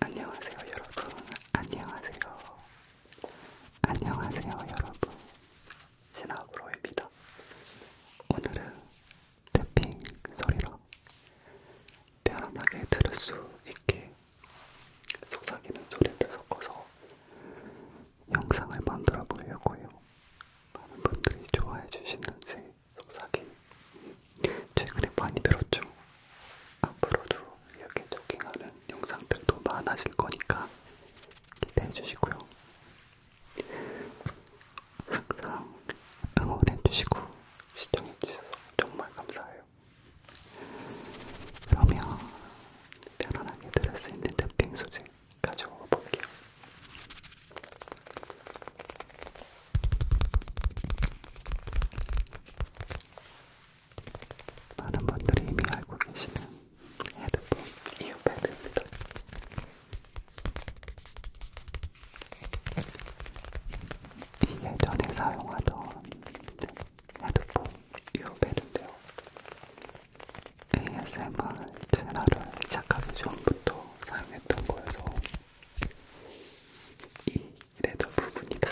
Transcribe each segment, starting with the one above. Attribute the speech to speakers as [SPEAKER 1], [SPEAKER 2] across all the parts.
[SPEAKER 1] 안녕하세요, 여러분. 안녕하세요. 안녕하세요, 여러분. 신하브로입니다. 오늘은 태핑 소리로 편안하게 들을 수 있게 속삭이는 소리를 섞어서 영상을 만들어 보려고요. 많은 분들이 좋아해 주시는지 속삭임 최근에 많이 들었죠. 앞으로도 이렇게 조깅하는 영상들도 많아질 거니까 기대해 주시고요. 항상 응원해 주시고 시청해 주셔서 정말 감사해요. 그러면 편안하게 들을 수 있는 탭핑 소재 가져와 볼게요. 많은 분들이 이미 알고 계시는 헤드폰 이어패드입니다. 이 예전에 사용하던 헤드폰 이어패드인데요.
[SPEAKER 2] ASMR 채널을 시작하기 전부터 사용했던 거여서 이 레더 부분이 다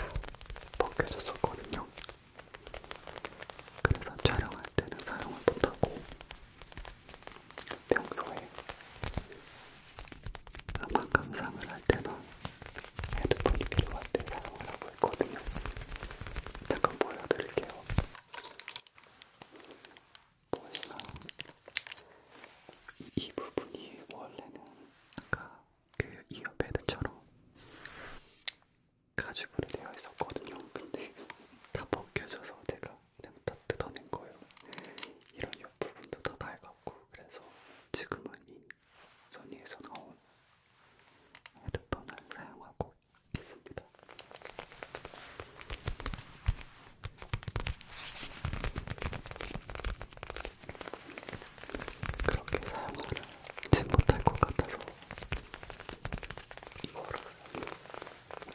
[SPEAKER 2] 벗겨졌었거든요. 그래서 촬영할 때는 사용을 못하고 평소에 음악 감상을 할 때나 헤드폰이 필요할 때 사용을 하고 있거든요. 잠깐 보여드릴게요. 더 이상 이 부분이 원래는 아까 그 이어패드처럼 가죽으로 되어 있었거든요. 근데 다 벗겨져서 제가 그냥 다 뜯어낸 거예요. 이런 옆 부분도 다 낡았고 그래서 지금은 이 소니에서 나온 헤드폰을 사용하고 있습니다. 그렇게 사용을 지 못할 것 같아서 이거를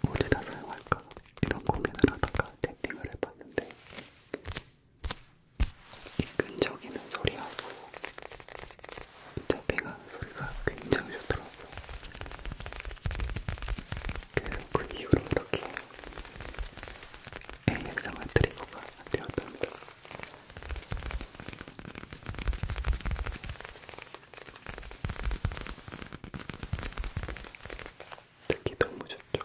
[SPEAKER 2] 어디다 사용할까 이런 고민을 하다가 탭핑을 해봤는데 이 끈적이는 소리하고 탭핑하는 소리가 굉장히 좋더라고요. 그래서 그 이후로 이렇게 ASMR 트리거가 되었답니다. 듣기 너무 좋죠?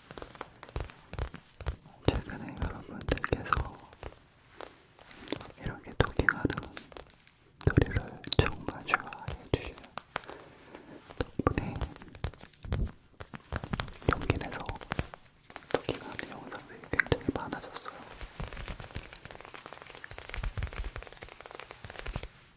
[SPEAKER 2] 최근에 여러분들께서 이렇게 토킹하는 소리를 정말 좋아해 주시는 덕분에 용기 내서 토킹하는 영상들이 굉장히 많아졌어요.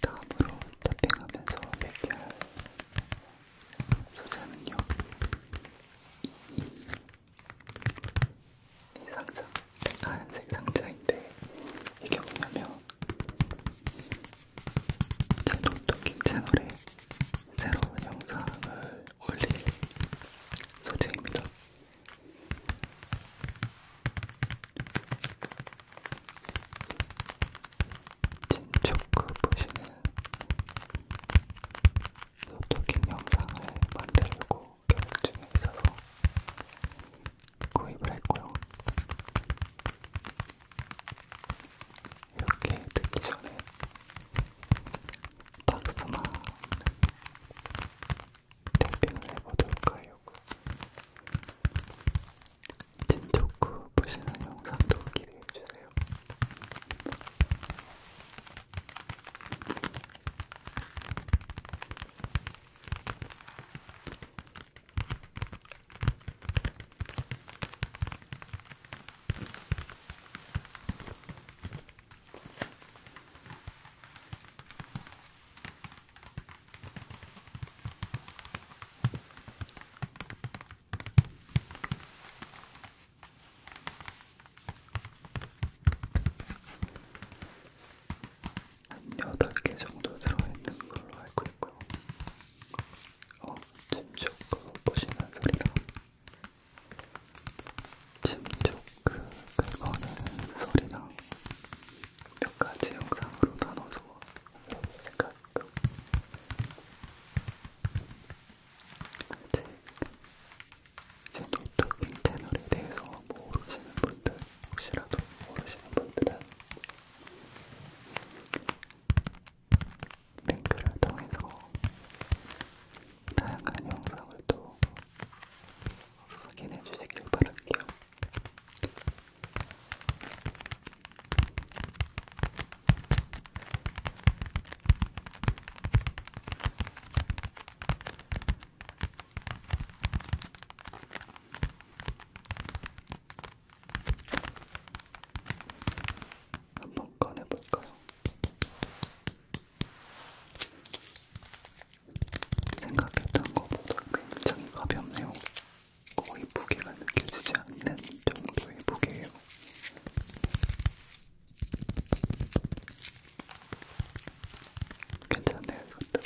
[SPEAKER 2] 다음으로 탑핑하면서 얘기할 소재는요. 이, 이 상자, 하얀색 상자인데 이게 뭐냐면 제 노트킹 채널에 새로운 영상을 올릴 소재입니다. 진척크 보시는 노토킹 영상을 만들고 계획 중에 있어서 구입을 했고요. 이렇게 듣기 전에 박스만 탭핑을 해보도록 하려고 진토크 보시는 영상도 기대해주세요. 한 8개 정도 들어있는 걸로 알고 있고요. 어, 침조크 보시는 소리랑 침조크 긁어내는 소리랑 몇 가지 영상으로 나눠서 생각하고 제, 제 노트북 채널에 대해서 모르시는 분들 혹시라도 모르시는 분들은 링크를 통해서 다양한 영상을 또 확인해 주시길 바랄게요. 한번 꺼내볼까요? 생각했던 것보다 굉장히 가볍네요. 거의 무게가 느껴지지 않는 정도의 무게예요. 괜찮네요, 이것도.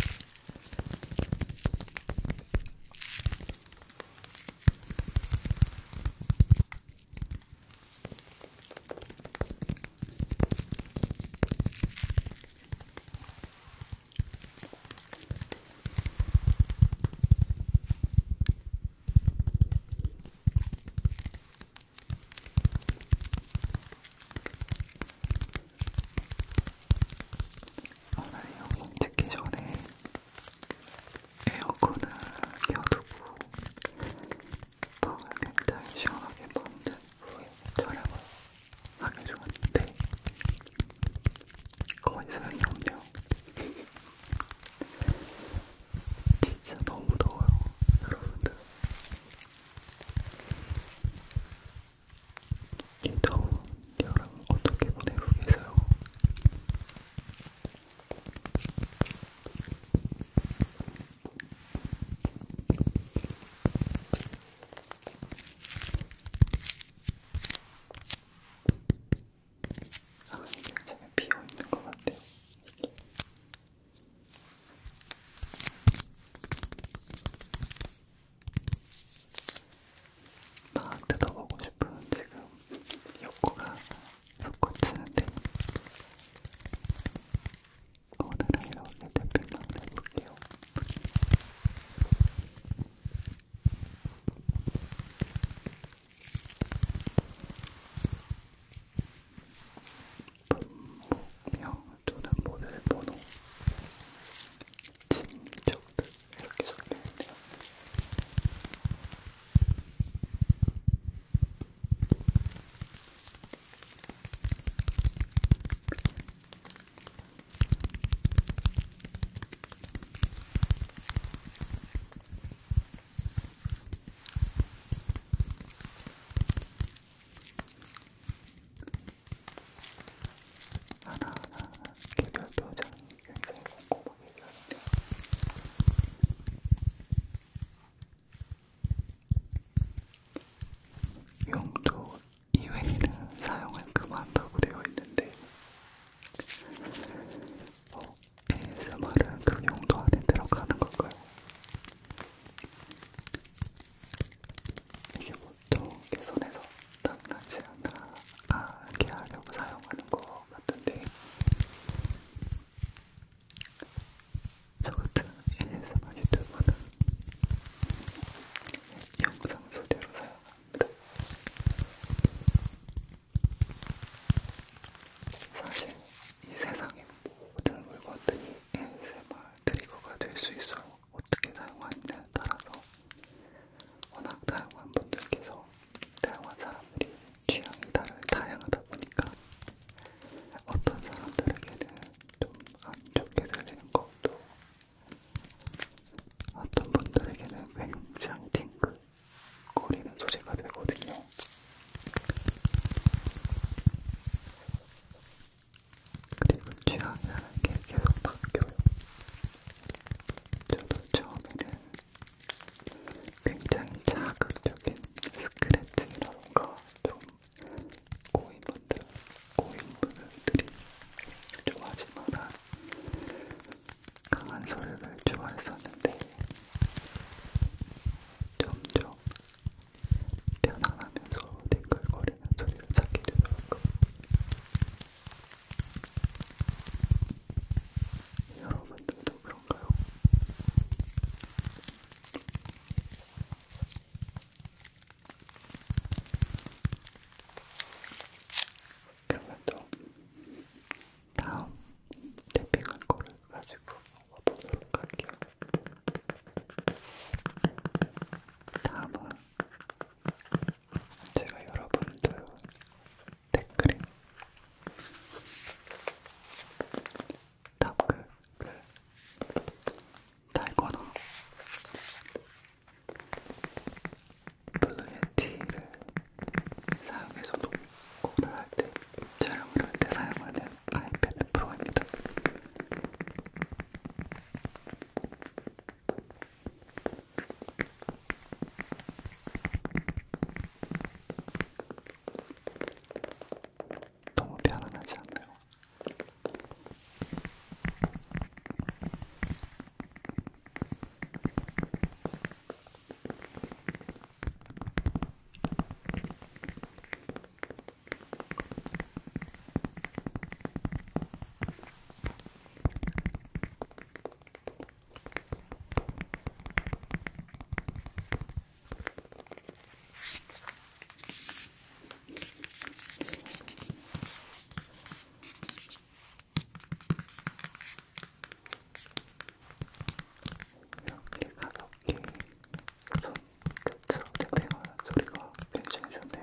[SPEAKER 2] 오늘 여기 듣기 전에 에어컨을 켜두고 방을 굉장히 시원하게 만든 후에 촬영을 하게 좋았는데 거의 소용이 없네요. 진짜 너무 더워요, 여러분들. 이 더운 여름 어떻게 보내고 계세요? 아, 이게 제가 비어 있는 것 같아요. 이게. 나한테 더 보고 싶은 지금 욕구가 솟구치는데 오늘은 이렇게 대표만 해볼게요. 분목명 또는 모델 번호 진정 이렇게 정리했네요. 하나하나 개별 표정이 굉장히 고 먹이려니까. 용도 이외에는 사용을 금한다고 되어 있는데 어, ASMR은 그 용도 안에 들어가는 건가요? 이게 보통 내 손에서 땀나지 않아 알게 아, 하려고 사용하는 거것 같은데 저 같은 ASMR 유튜버는 영상 소재로 사용합니다. 사실 이 세상의 모든 물건들이 ASMR 트리거가 될 수 있어 어떻게 사용하느냐에 따라서 워낙 다양한 분들께서 다양한 사람들이 취향이 다를 다양하다 보니까 어떤 사람들에게는 좀 안 좋게 들리는 것도 어떤 분들에게는 굉장히 팅글거리는 소재가 되거든요. 그리고 취향이라는 게 계속 바뀌어요. 저도 처음에는 굉장히 자극적인 스크래치라던가 좀 고인분들, 고인분들이 좋아하지 마라 강한 소리를 좋아했었는데 점점 편안하면서 뒹글거리는 소리를 찾게 되더라고요. 여러분들도 그런가요? 그러면 또 다음 탭핑한 거를 가지고 와보도록 할게요. 다음은 제가 여러분들 댓글에 답글을 달거나 블루의 티를 사용해서 녹음을 할때 촬영을 할때 사용하는 아이패드 프로입니다. 너무 편안하지 않나요? 이렇게 가볍게 손 끝으로 땡땡하는 소리가 굉장히 좋네요.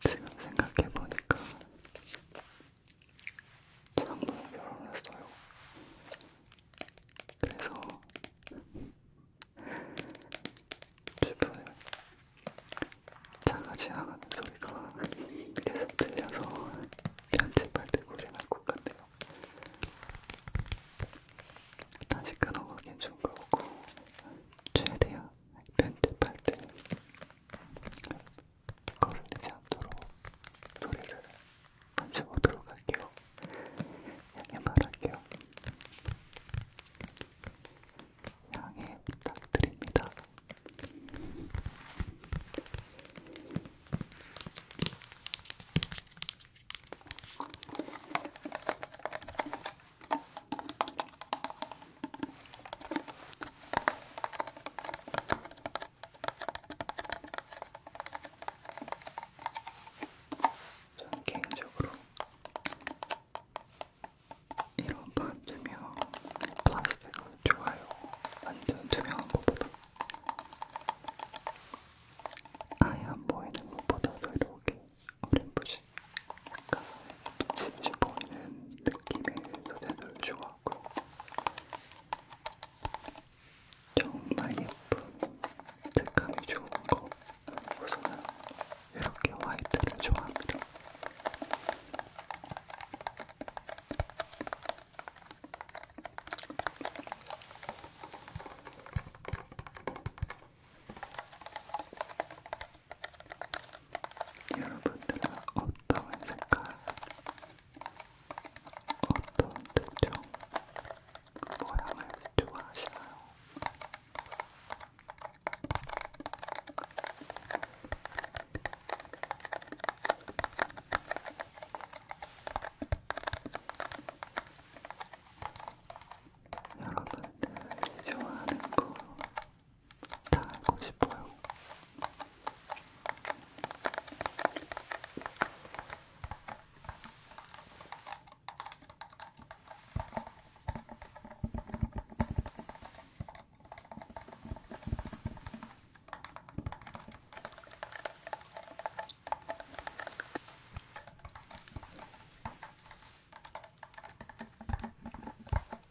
[SPEAKER 2] 지금 생각해보니까 처음으로 결혼했어요. 그래서 주변에 차가 지나가는 소리가 계속 들려서 편집할 때 고생할 것 같네요. 다시 끊어가긴 좀 그렇고 최대한 편집할 때 거슬리지 않도록 소리를 맞춰보도록 할게요. 양해 바랄게요. 양해 부탁드립니다. 저는 개인적으로 이런 반투명 플라스틱을 좋아요. 완전 투명한 것보다 아예 안 보이는 것보다도 이렇게 어렴풋이 약간 붙이고 싶어하는 느낌의 소재들 좋아하고 정말 예쁜 색감이 좋은 거 우선은 이렇게 화이트를 좋아합니다. 여러분들은 어떤 색깔, 어떤 특정 모양을 좋아하시나요? 여러분들이 좋아하는 거다 알고 싶어요.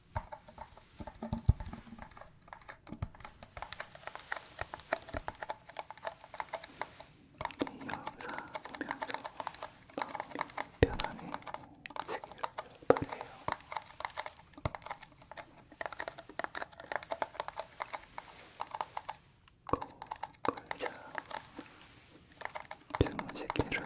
[SPEAKER 2] 영상 보면서 마음이 편안해 지기를 바래요. 꼭 걸자 주무시기를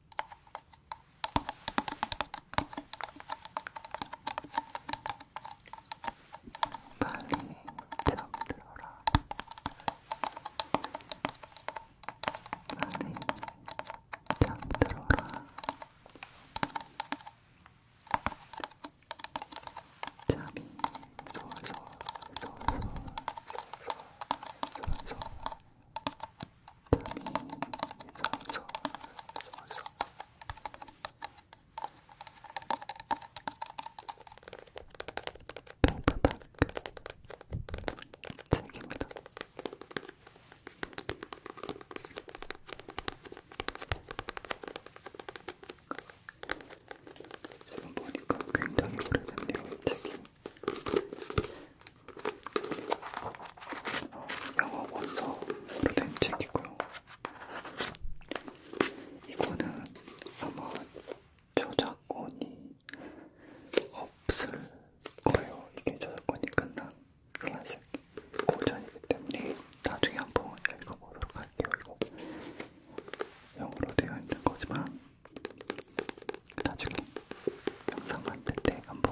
[SPEAKER 2] 빨리 잠들어라. 빨리 잠들어라. 잠이 솔솔 솔솔 솔솔 솔솔 그래서 그래서 팽팽팽 즐깁니다. 지금 보니까 굉장히 오래됐네요, 이 책이. 영어 원서로 된 책이고요. 이거는 아마 저작권이 없을 거예요. 이게 저작권이 끝난 클래식 고전이기 때문에 나중에 한번 읽어보도록 할게요. 이거 영어로 되어 있는 거지만 나중에 영상 만들 때 한번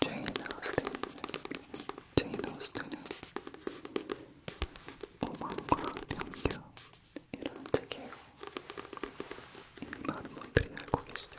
[SPEAKER 2] 쟁이 나왔을 때는 쟁이 나왔을 때는 오만과 변경 이라는 책이에요. 이미 많은 분들이 알고 계시죠?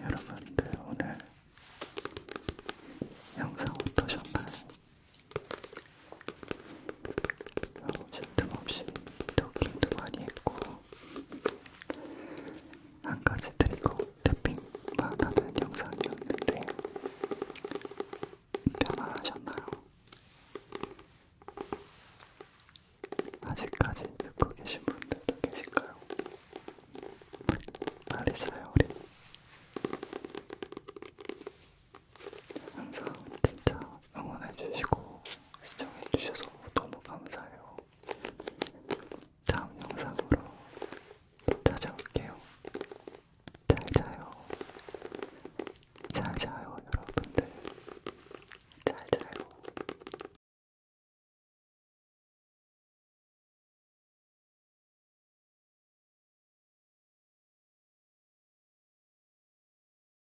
[SPEAKER 2] 여러분들 오늘 영상 어떠셨나요? 쉴틈 없이 토킹도 많이 했고 한 가지 드리고 탭핑만 하는 영상이었는데 편안하셨나요? 아직까지 듣고 계신 분들도 계실까요? 말이자요 우리 항상 진짜 응원해주시고 시청해주셔서 너무 감사해요. 다음 영상으로 또 찾아올게요. 잘 자요. 잘 자요, 여러분들. 잘 자요.